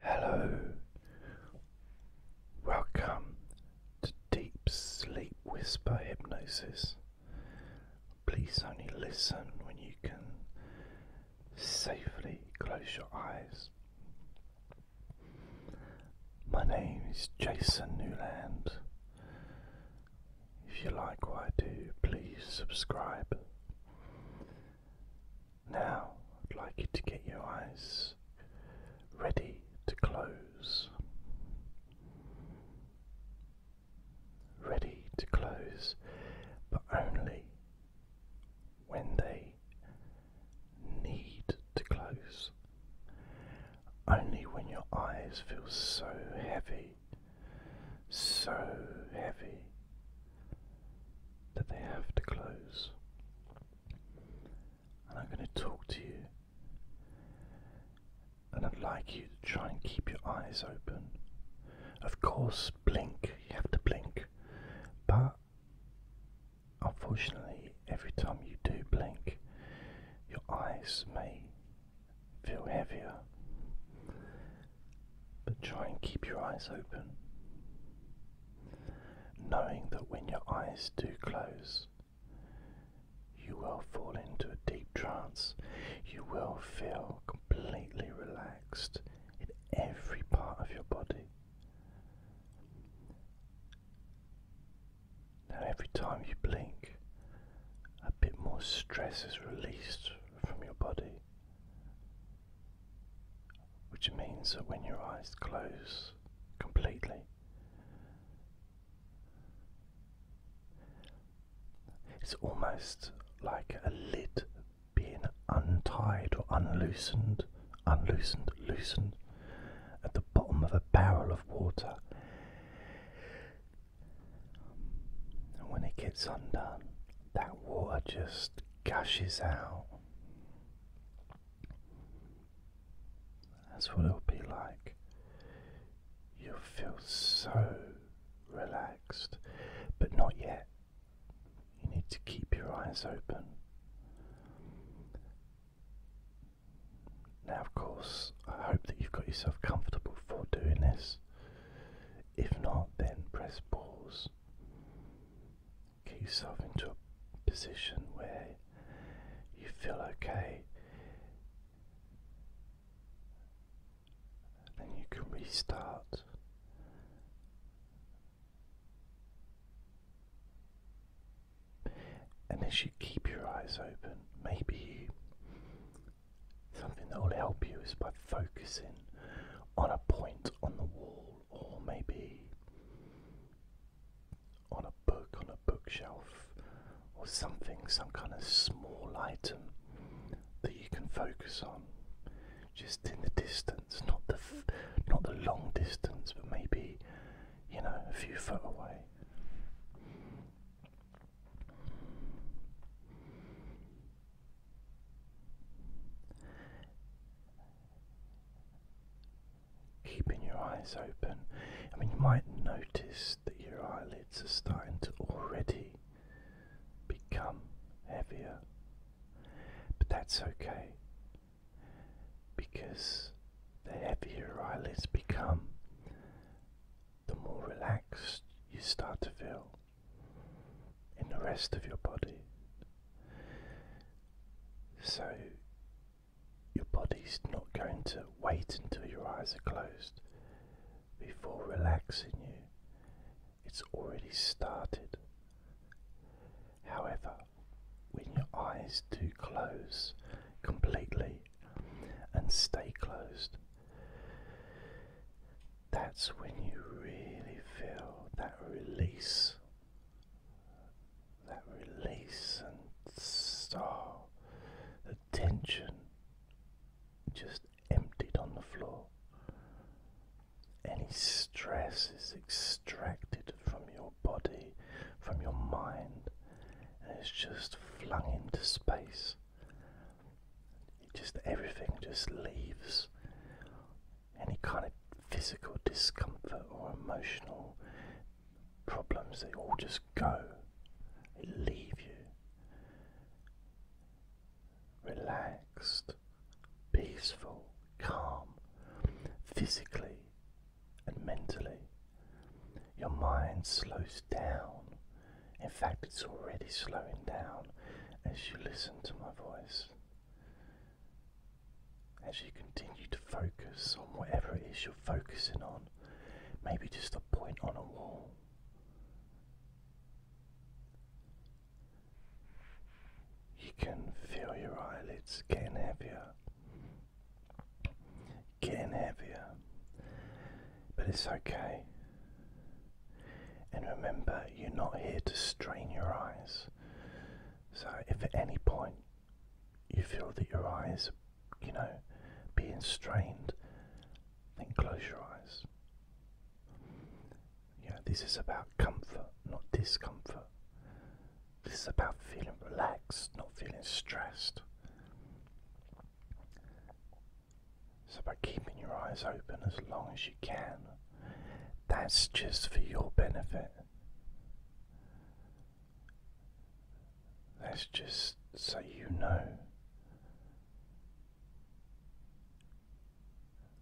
Hello, welcome to Deep Sleep Whisper Hypnosis. Please only listen when you can safely close your eyes. My name is Jason Newland. If you like what I do, please subscribe. Now, I'd like you to get your eyes ready to close. Ready to close, but only when they need to close. Only when your eyes feel so heavy, so heavy that they have to close. And I'm going to talk to you. And I'd like you to try and keep your eyes open. Of course, blink, you have to blink. But unfortunately, every time you do blink, your eyes may feel heavier. But try and keep your eyes open knowing that when your eyes do close, you will fall into a deep trance. You will feel completely relaxed in every part of your body. Now, every time you blink, a bit more stress is released from your body which means that when your eyes close completely, it's almost like a lid being untied or unloosened, unloosened, loosened at the bottom of a barrel of water. And when it gets undone, that water just gushes out that's what it'll be like. You'll feel so relaxed, but not yet. You need to keep your eyes open. Now, of course, I hope that you've got yourself comfortable for doing this. If not, then press pause Get yourself into a position where you feel okay. And then you can restart. And as you keep your eyes open, maybe something that will help you is by focusing on a point on the wall or maybe on a book, on a bookshelf, or something, some kind of small item that you can focus on, just in the distance, not the not the long distance, but maybe you know a few foot away. Keeping your eyes open. I mean, you might notice that your eyelids are starting to already become heavier, but that's okay because the heavier your eyelids become, the more relaxed you start to feel in the rest of your body. So your body's not going to wait until your eyes are closed before relaxing you. It's already started. However, when your eyes do close completely and stay closed, that's when you really feel that release that release and start the tension just emptied on the floor. Any stress is extracted from your body, from your mind, and it's just flung into space. It just everything just leaves any kind of physical discomfort or emotional problems, they all just go, they leave you relaxed, peaceful, calm, physically and mentally. Your mind slows down. In fact, it's already slowing down as you listen to my voice. As you continue to focus on whatever it is you're focusing on, maybe just a point on a wall. You can feel your eyelids getting heavier, getting heavier, but it's okay. And remember, you're not here to strain your eyes. So, if at any point you feel that your eyes, you know, being strained, then close your eyes. Yeah, this is about comfort, not discomfort. This is about feeling relaxed, not feeling stressed. So, about keeping your eyes open as long as you can that's just for your benefit. That's just so you know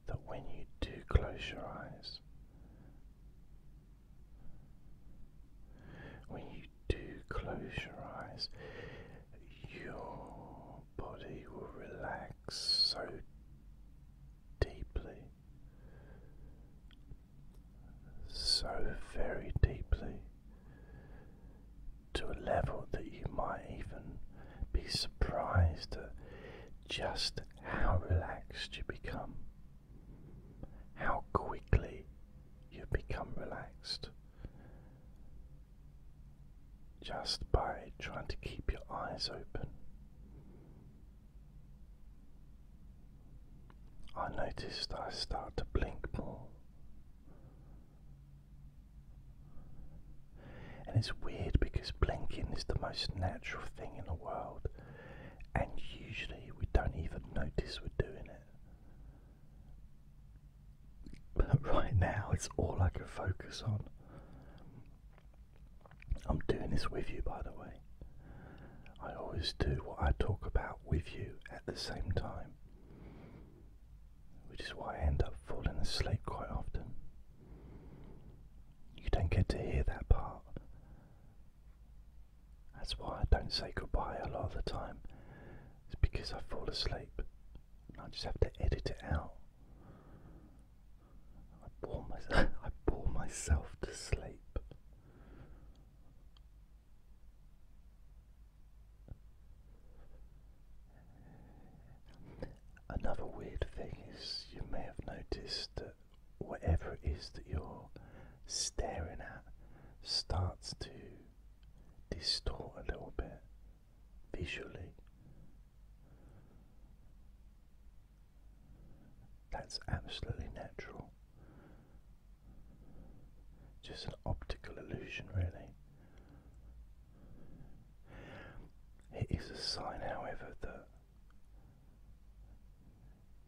that when you do close your eyes, when you do close your eyes, your body will relax so deeply, so very deeply, to a level that you might even be surprised at just how relaxed you become, how quickly you become relaxed. Just by trying to keep your eyes open, I noticed I start to blink more. And it's weird because blinking is the most natural thing in the world, and usually we don't even notice we're doing it. But right now, it's all I can focus on. I'm doing this with you, by the way. I always do what I talk about with you at the same time, which is why I end up falling asleep quite often. You don't get to hear that part. That's why I don't say goodbye a lot of the time. It's because I fall asleep. I just have to edit it out. I bore myself I bore myself to sleep. Another weird thing is you may have noticed that whatever it is that you're staring at starts to distort a little bit visually. That's absolutely natural. Just an optical illusion, really. It is a sign, however, that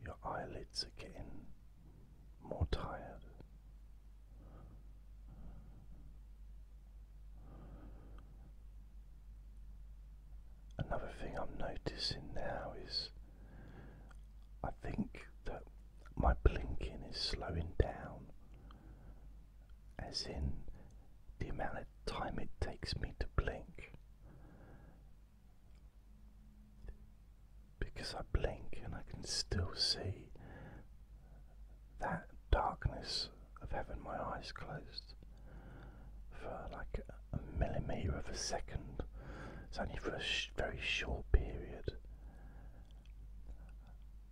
your eyelids are getting more tired. Another thing I'm noticing now is I think that my blinking is slowing down, as in the amount of time it takes me to blink. Because I blink and I can still see that darkness of having my eyes closed for like a millimetre of a second. It's only for a very short period.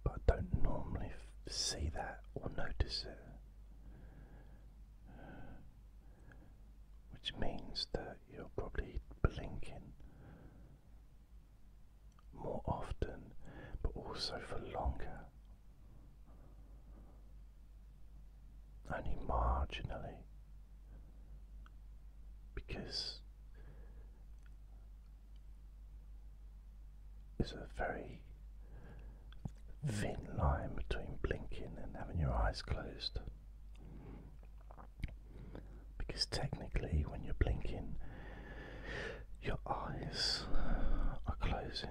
But I don't normally see that or notice it. Which means that you're probably blinking more often, but also for longer only marginally because there's a very thin line between blinking and having your eyes closed. Because technically, when you're blinking, your eyes are closing.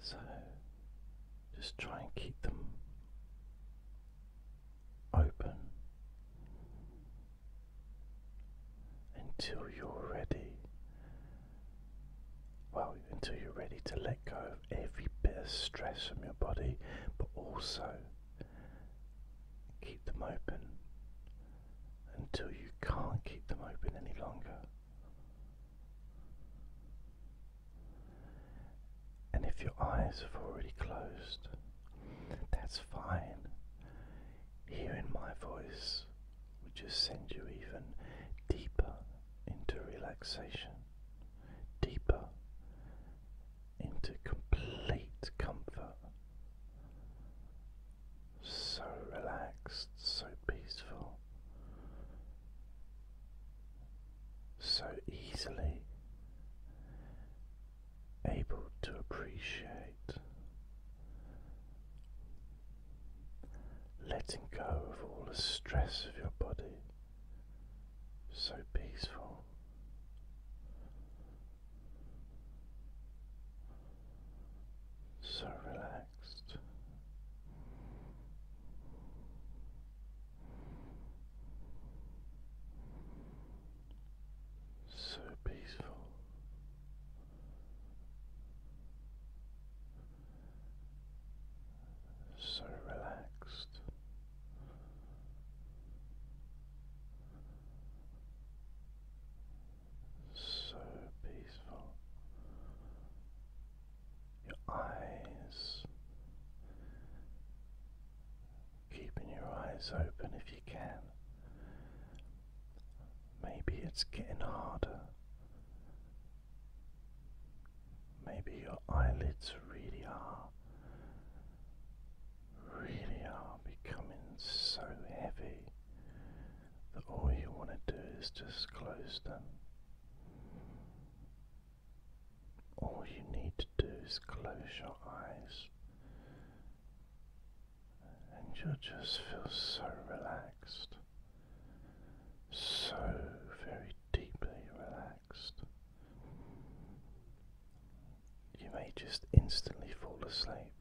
So just try and keep them open until you're ready. Well, until you're ready to let go of every bit of stress from your body, but also keep them open until you can't keep them open any longer. And if your eyes have already closed, that's fine. Hearing my voice would just send you even deeper into relaxation, deeper into complete comfort so relaxed, so peaceful, so easily able to appreciate letting go of all the stress of your body, so peaceful so relaxed. So peaceful, so relaxed, so peaceful. Your eyes, keeping your eyes open if you can. Maybe it's getting harder. Maybe your eyelids really are, really are becoming so heavy all you want to do is just close them. All you need to do is close your eyes, and you'll just feel so relaxed, so very deeply relaxed. You may just instantly fall asleep.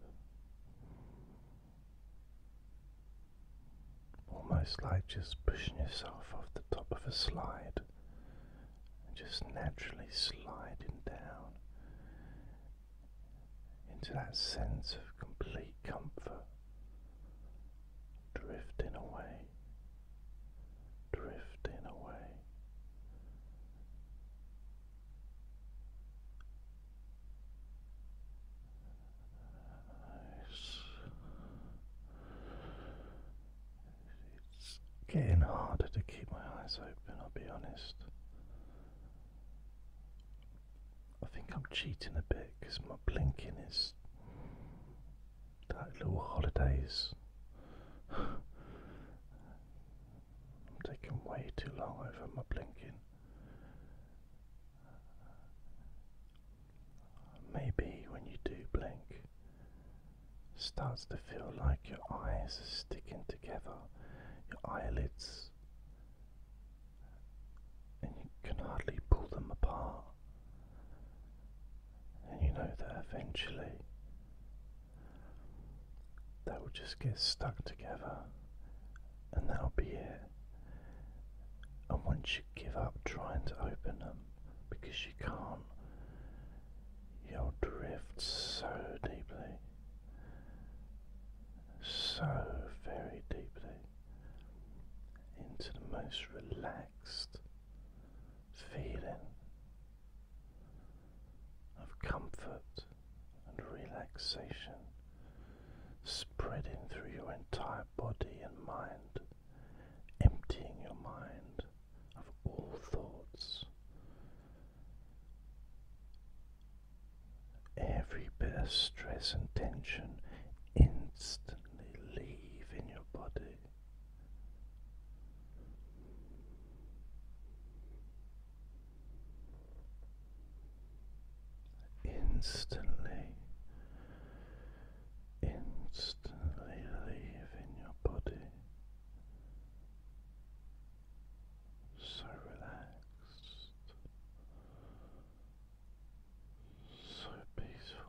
Almost like just pushing yourself off the top of a slide and just naturally sliding down into that sense of complete comfort, drifting away, drifting away, it's getting harder to keep my eyes open, I'll be honest. I think I'm cheating a bit because my blinking is that little holidays. I'm taking way too long over my blinking. Maybe when you do blink, it starts to feel like your eyes are sticking together, your eyelids, and you can hardly pull them apart. And you know that eventually they will just get stuck together and that'll be it. And once you give up trying to open them because you can't, you'll drift so deeply, so very deeply into the most relaxed feeling of comfort and relaxation spreading through your entire body and mind, emptying your mind of all thoughts. Every bit of stress and tension instantly leave in your body instantly, instantly leaving your body so relaxed, so peaceful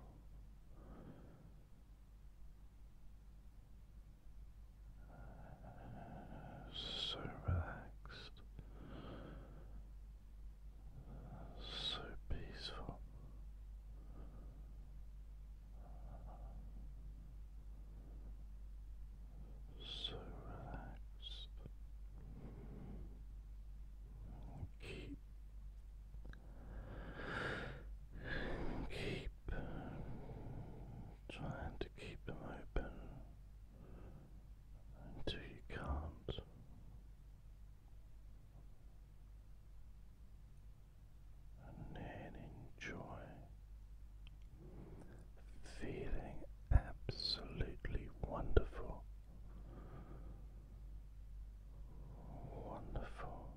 so relaxed, so peaceful. So relaxed. Keep, keep trying to keep them open until you can't. And then enjoy feeling absolutely wonderful. Wonderful.